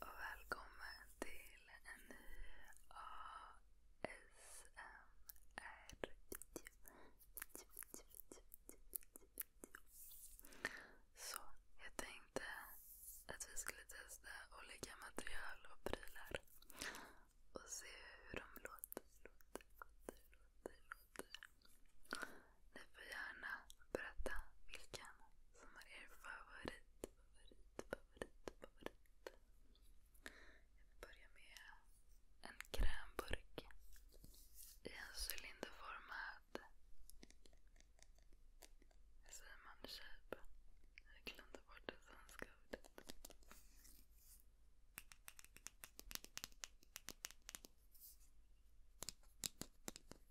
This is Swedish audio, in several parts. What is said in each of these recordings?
och välkommen till en ny ASMR-video. Så, jag tänkte att vi skulle testa olika material och prylar och se hur de låter, låter, låter, låter. låter. Ni får gärna berätta vilken som är er favorit, favorit, favorit, favorit. Jag börjar med en krämburk i en cylinderformad... Hur säger man? Shape? Jag glömde bort det svenska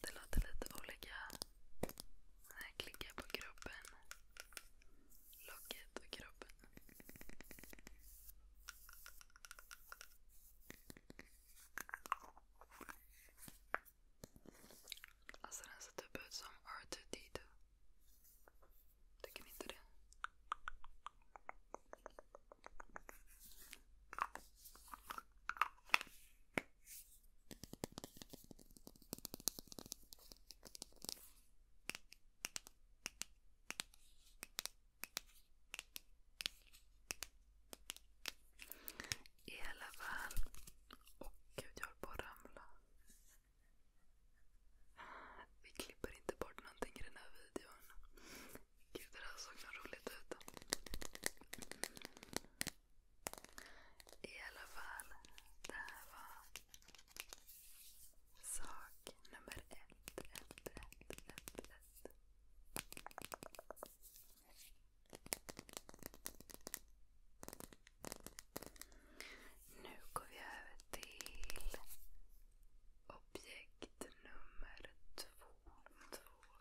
Det låter lite olika när jag klickar på kroppen. Locket och kroppen. Alltså den ser typ ut som R2D2. Tycker ni inte det? I alla fall. Åh oh, gud, jag håller på att ramla. Vi klipper inte bort någonting i den här videon. Gud, det där såg nog roligt ut. I alla fall, det här var sak nummer ett, ett, ett, ett, ett. Nu går vi över till objekt nummer två. två,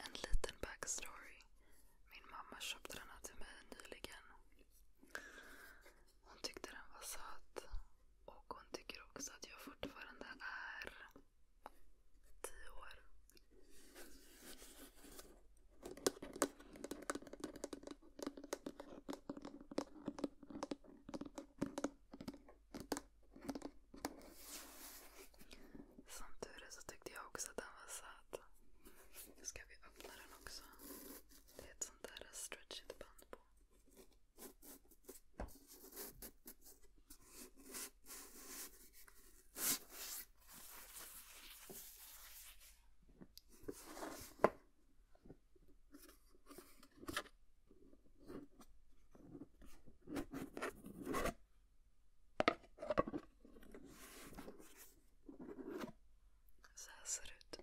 En liten backstory. Min mamma köpte den här till mig nyligen. Hon tyckte den var söt. Och hon tycker också att jag fortfarande är tio år. Som tur är så tyckte jag också att den var söt. Nu ska vi öppna den också. Det är ett sånt där stretchigt band på. Så här ser det ut.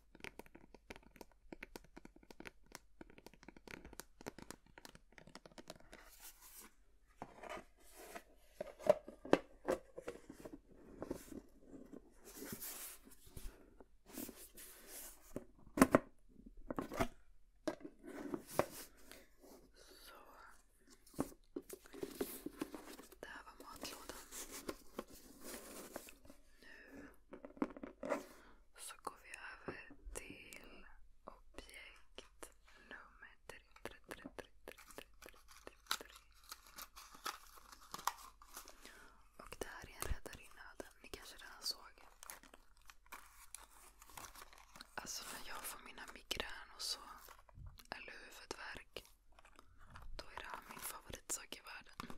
Det här var matlådan. Nu så går vi över till objekt nummer 3. 3, 3, 3, 3, 3, 3, 3. Och det här är en räddarinna. Den ni kanske redan såg. Alltså när jag får mina migrän och så, eller huvudvärk, då är det här min favoritsak i världen.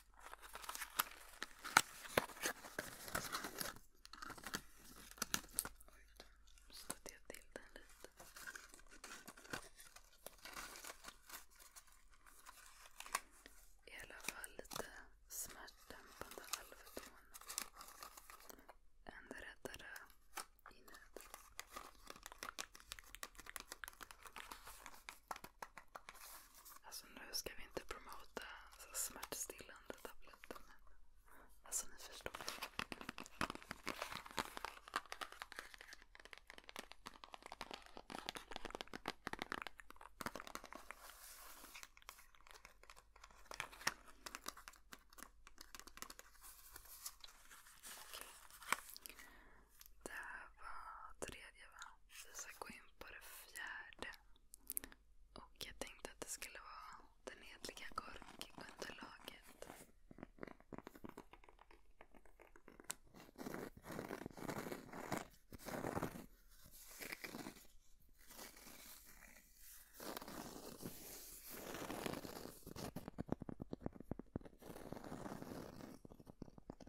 Stötte jag till den lite. I alla fall lite smärtdämpande Alvedon. En räddare i nöd. Alltså nu ska vi inte promota alltså, smärtstillande tabletter men alltså ni förstår. Okej. Det här var tredje va? Vi ska gå in på det fjärde. Och jag tänkte att det skulle vara den hedliga korkunderlaget.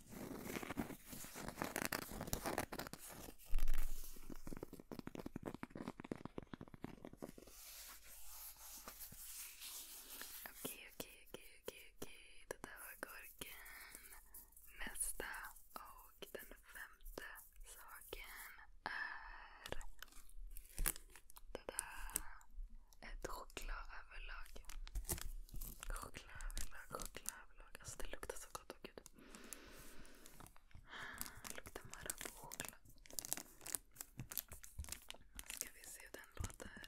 Okej, okej, okej, Det där var gurken. Nästa och den femte saken är... Det där. Ett chokladöverlag. Chokladöverlag, chokladöverlag. Alltså det luktar så gott, åh oh, gud. Det luktar Marabou choklad. Ska vi se hur den låter.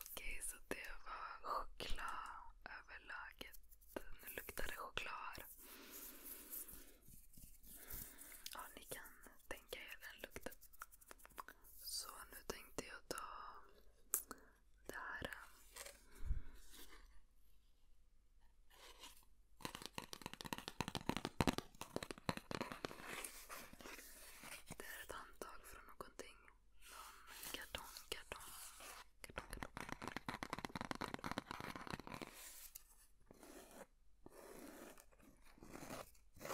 Okej, så det var chokladöverlaget. Nu luktar det choklad. Ja, ni kan tänka er den lukten. Så nu tänkte jag ta det här. Det är ett handtag från någonting. Någon kartong, kartong, kartong, Den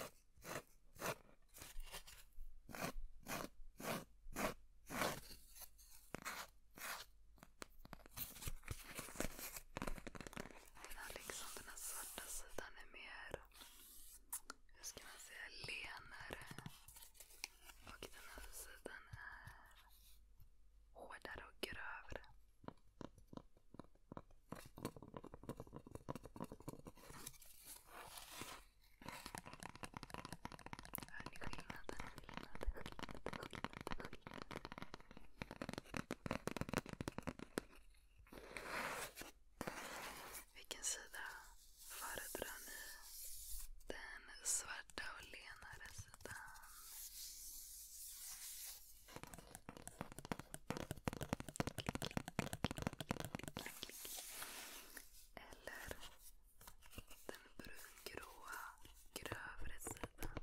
här, liksom, den här svarta sidan är mer hur ska man säga, lenare. Och den här sidan är hårdare och grövre. Hör ni skillnaden? Skillnaden, skillnaden, skillnaden, skillnaden. Vilken sida föredrar ni? Den svarta och lenare sidan? Eller den brungråa, grövre sidan?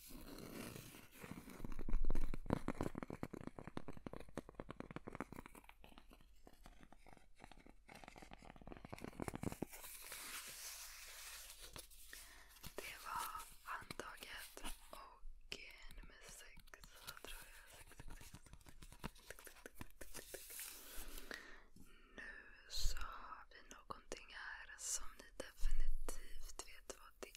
Det var handtaget och eh, nummer sex tror jag. Nu sa vi någonting här som ni definitivt vet vad det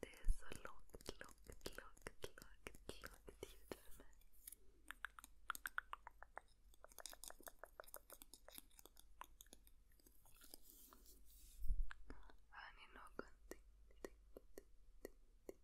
Det är så lågt, lågt, lågt, ljud för mig. Hör ni någonting? Ting, ting, ting, ting,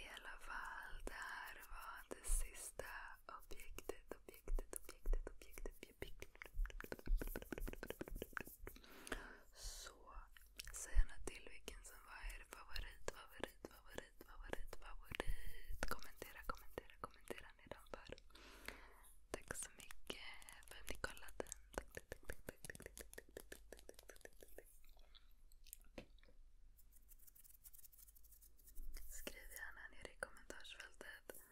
I alla fall, det här var det sista objektet, objektet, objektet, objektet, objektet. Så, säg gärna till vilken som var er favorit, favorit, favorit, favorit, favorit. Kommentera, kommentera, kommentera nedanför. Tack så mycket för att ni kollade. Tack, Skriv gärna ner i kommentarsfältet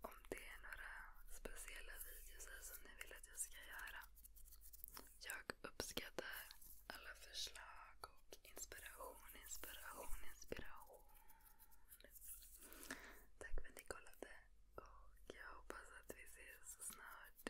om det är några speciella videos som ni vill att jag ska göra. Jag uppskattar alla förslag och inspiration, inspiration, inspiration. Tack för att ni kollade och jag hoppas att vi ses så snart